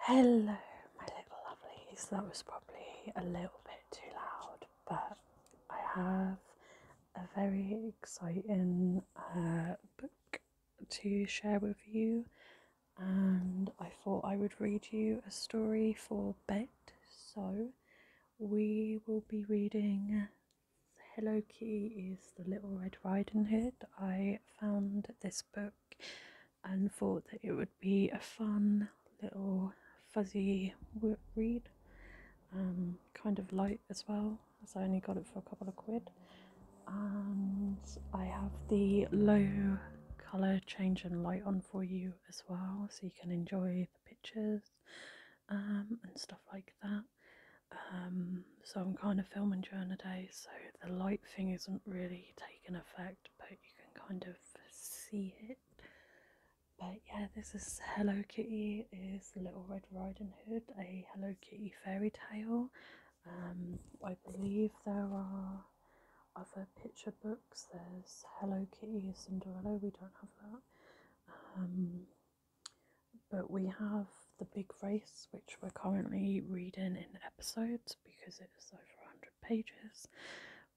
Hello, my little lovelies. That was probably a little bit too loud, but I have a very exciting uh, book to share with you, and I thought I would read you a story for bed. So, we will be reading Hello Kitty is the Little Red Riding Hood. I found this book and thought that it would be a fun little fuzzy read, um, kind of light as well, as I only got it for a couple of quid. And I have the low colour change and light on for you as well, so you can enjoy the pictures um, and stuff like that. Um, so I'm kind of filming during the day, so the light thing isn't really taking effect, but you can kind of see it. But yeah, this is Hello Kitty is Little Red Riding Hood, a Hello Kitty fairy tale. Um, I believe there are other picture books. There's Hello Kitty Cinderella. We don't have that. Um, but we have The Big Race, which we're currently reading in episodes because it is over 100 pages.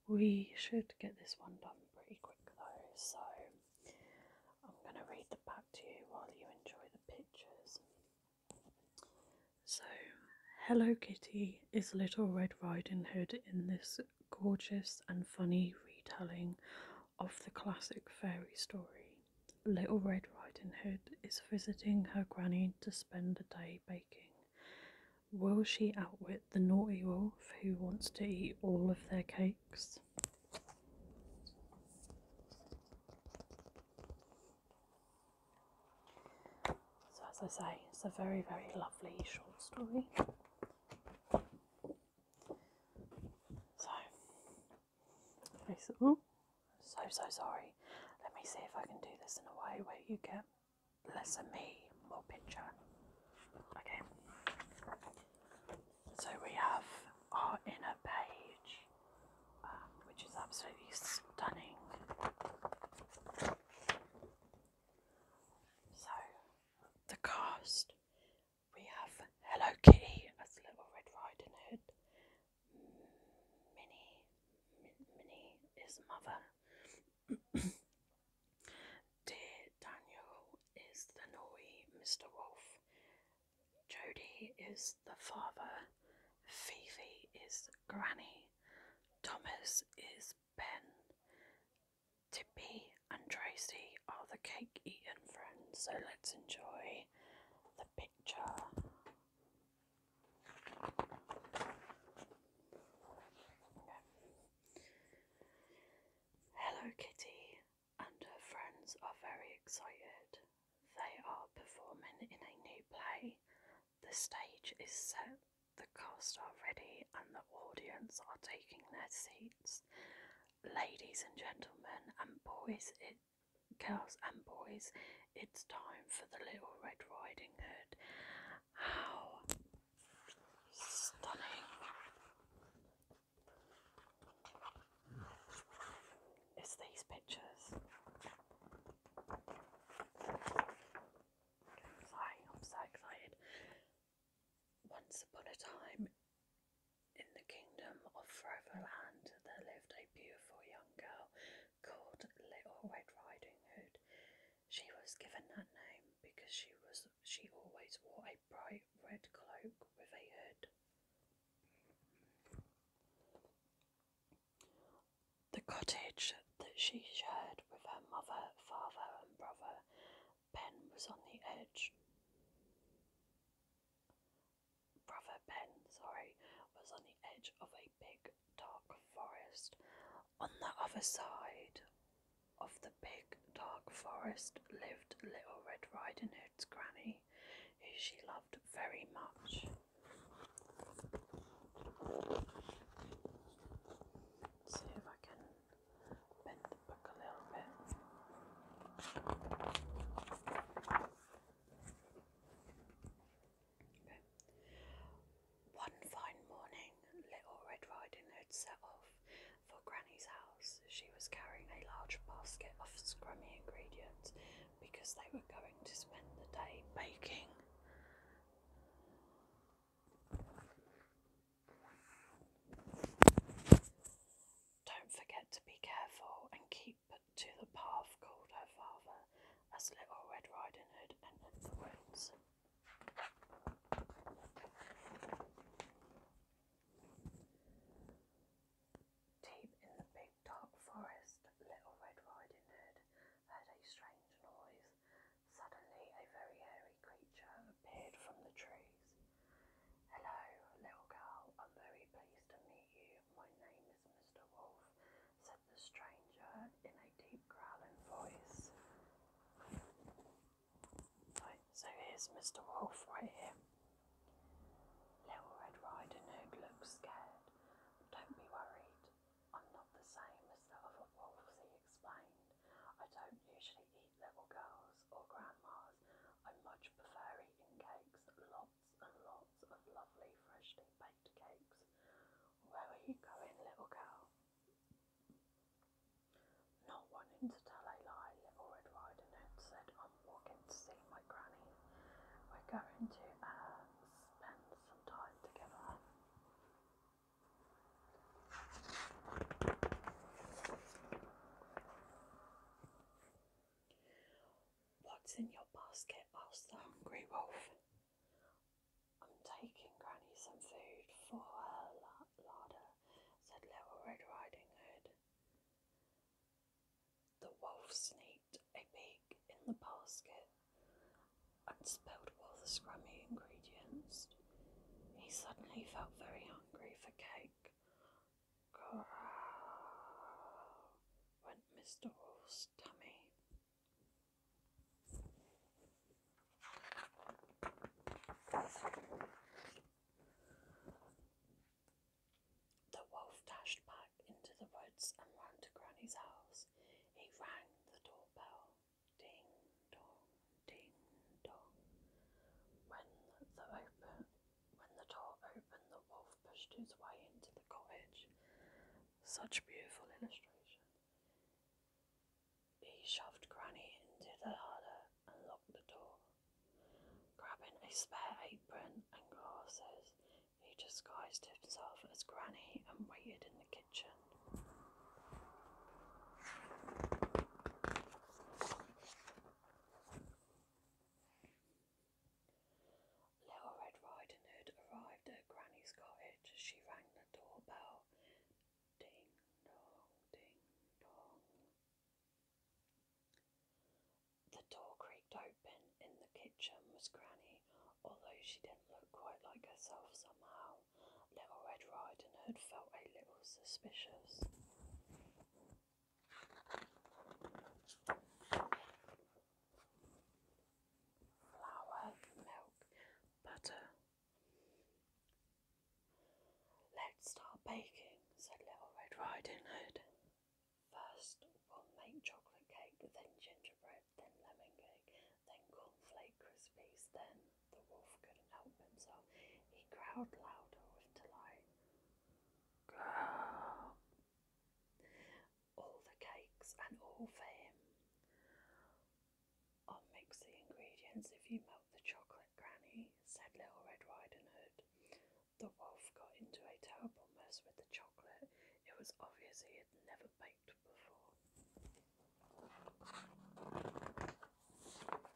We should get this one done pretty quick though, so I'm going to read the back to you while you enjoy the pictures. So, Hello Kitty is Little Red Riding Hood in this gorgeous and funny retelling of the classic fairy story. Little Red Riding Hood is visiting her granny to spend the day baking. Will she outwit the naughty wolf who wants to eat all of their cakes? So, as I say, it's a very, very lovely short story. So, I am so, so sorry. Let me see if I can do this in a way where you get less of me, more picture. Okay. So we have our inner page, um, which is absolutely stunning. So, the cast we have Hello Kitty as Little Red Riding Hood, Minnie, Minnie, is mother. Dear Daniel is the naughty Mr. Wolf. Jody is the father. Fifi is Granny. Thomas is Ben. Tippy and Tracy are the cake eating friends, so let's enjoy picture. Hello Kitty and her friends are very excited. They are performing in a new play. The stage is set, the cast are ready, and the audience are taking their seats. Ladies and gentlemen and boys, it girls and boys, it's time for the Little Red Riding Hood. How stunning is these pictures? I'm so excited. Once upon a time in the kingdom of Foreverland, there lived a beautiful young girl called Little Red Riding Hood. She was given that name because she was she always wore a bright red cloak with a hood. The cottage that she shared with her mother, father, and brother, Pen, was on the edge brother Ben, sorry, was on the edge of a big dark forest. On the other side of the big dark forest lived Little Red Riding Hood's granny, who she loved very much. see if I can bend the a little bit. One fine morning, Little Red Riding Hood set off for Granny's house. She was carrying a large basket of scrummy ingredients because they were going to spend the day baking. Don't forget to be careful and keep to the path called her father as Little Red Riding Hood entered the woods. Deep in the big dark forest, Little Red Riding Hood heard a strange noise. Suddenly, a very hairy creature appeared from the trees. Hello, little girl. I'm very pleased to meet you. My name is Mr. Wolf, said the stranger in a deep growling voice. Right, so here's Mr. Wolf right here. Little Red Riding Hood looks scared. Don't be worried. I'm not the same as the other wolves, he explained. I don't usually eat little girls or grandmas. I much prefer eating cakes, lots and lots of lovely freshly baked cakes. Where are you going, little girl? Not wanting to tell a lie, Little Red Riding Hood said, I'm walking to see my granny. We're going to uh, spend some time together. What's in your basket? asked the hungry wolf. I'm taking Granny some food for her larder, said Little Red Riding Hood. The wolf sneaked a peek in the basket and spilled all the scrummy ingredients. He suddenly felt very hungry for cake, Growl, went Mr. Wolf's tummy. The wolf dashed back into the woods and ran to Granny's house. He rang the doorbell. Ding dong, ding dong. When the open when the door opened, the wolf pushed his way into the cottage. Such beautiful illustration. He shoved Granny into the hudder and locked the door. Grabbing a spare apron and glasses, he disguised himself as Granny and waited in the kitchen. Little Red Riding Hood arrived at Granny's cottage. She rang the doorbell. Ding dong, ding dong. The door creaked open. In the kitchen was Granny, although she didn't look quite like herself somehow. Little Red Riding Hood felt a little suspicious flour, milk, butter. Let's start baking, said Little Red Riding Hood. First, we'll make chocolate cake, then gingerbread, then lemon cake, then cornflake crispies. Then the wolf couldn't help himself. He crowed louder with delight. Girl. All the cakes and all for him. i mix the ingredients if you melt the chocolate, Granny, said Little Red Riding Hood. The wolf got into a terrible mess with the chocolate. It was obvious he had never baked before. Little Red Riding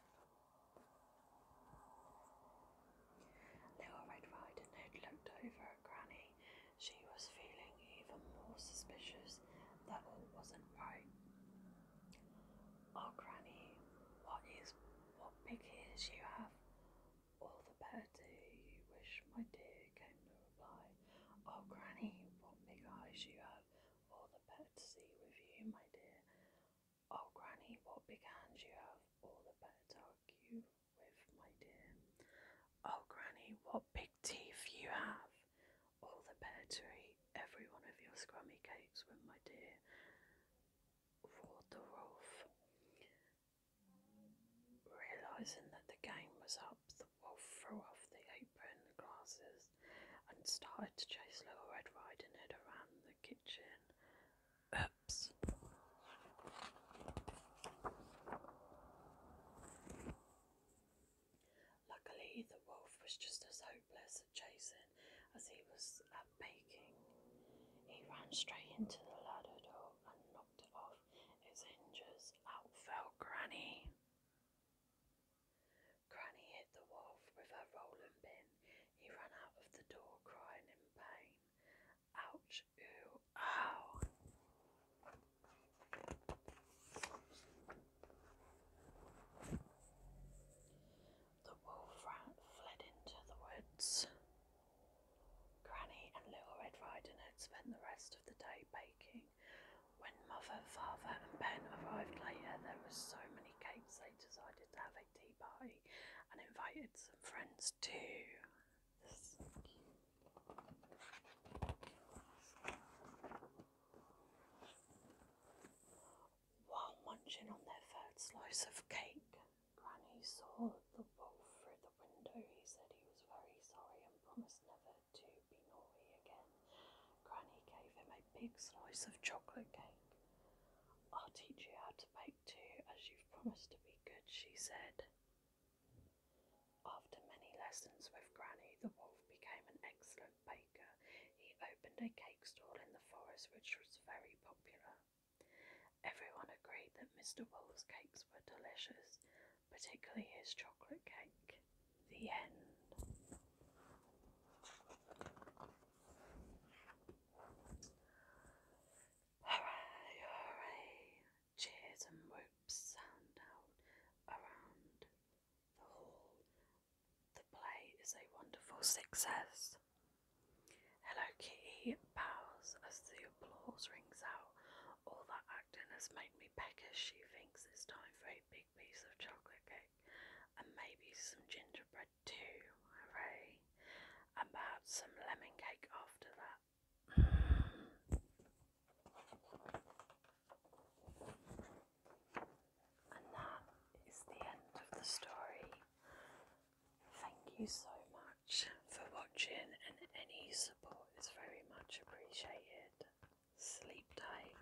Hood looked over at Granny. She was feeling even more suspicious that all wasn't right. Oh, Granny, what is what big ears you have? All the better you wish, my dear, came the reply. Oh, Granny, what big eyes you have! All the better to see with you, my dear. Oh, Granny, what began you have all the better argue with, my dear. Oh, Granny, what big teeth you have! All the better to eat every one of your scrummy cakes with, my dear, roared the wolf. Realising that the game was up, the wolf threw off the apron glasses and started to chase Little Red Riding Hood around the Luckily, the wolf was just as hopeless at chasing as he was at um, baking. He ran straight into the ladder door and knocked off its hinges. Out fell Granny. Granny hit the wolf with her rolling pin. He ran out of the door crying in pain. Ouch, ooh, ow. The wolf ran, fled into the woods. Granny and Little Red Riding Hood spent the rest of the day baking. When Mother, Father, and Ben arrived later, there were so many cakes they decided to have a tea party and invited some friends too. While munching on their third slice of cake, Granny saw the wolf through the window. He said he was very sorry and promised never to be naughty again. Granny gave him big slice of chocolate cake. I'll teach you how to bake too, as you've promised to be good, she said. After many lessons with Granny, the wolf became an excellent baker. He opened a cake stall in the forest, which was very popular. Everyone agreed that Mr. Wolf's cakes were delicious, particularly his chocolate cake. The end. Hooray, hooray! Cheers and whoops sound out around the hall. The play is a wonderful success. Hello, Kitty bows as the applause rings out. All that acting has made me peckish. She thinks it's time for a big piece of chocolate cake and maybe some gingerbread tried two, About some lemon cake after that. and that is the end of the story. Thank you so much for watching, and any support is very much appreciated. Sleep tight.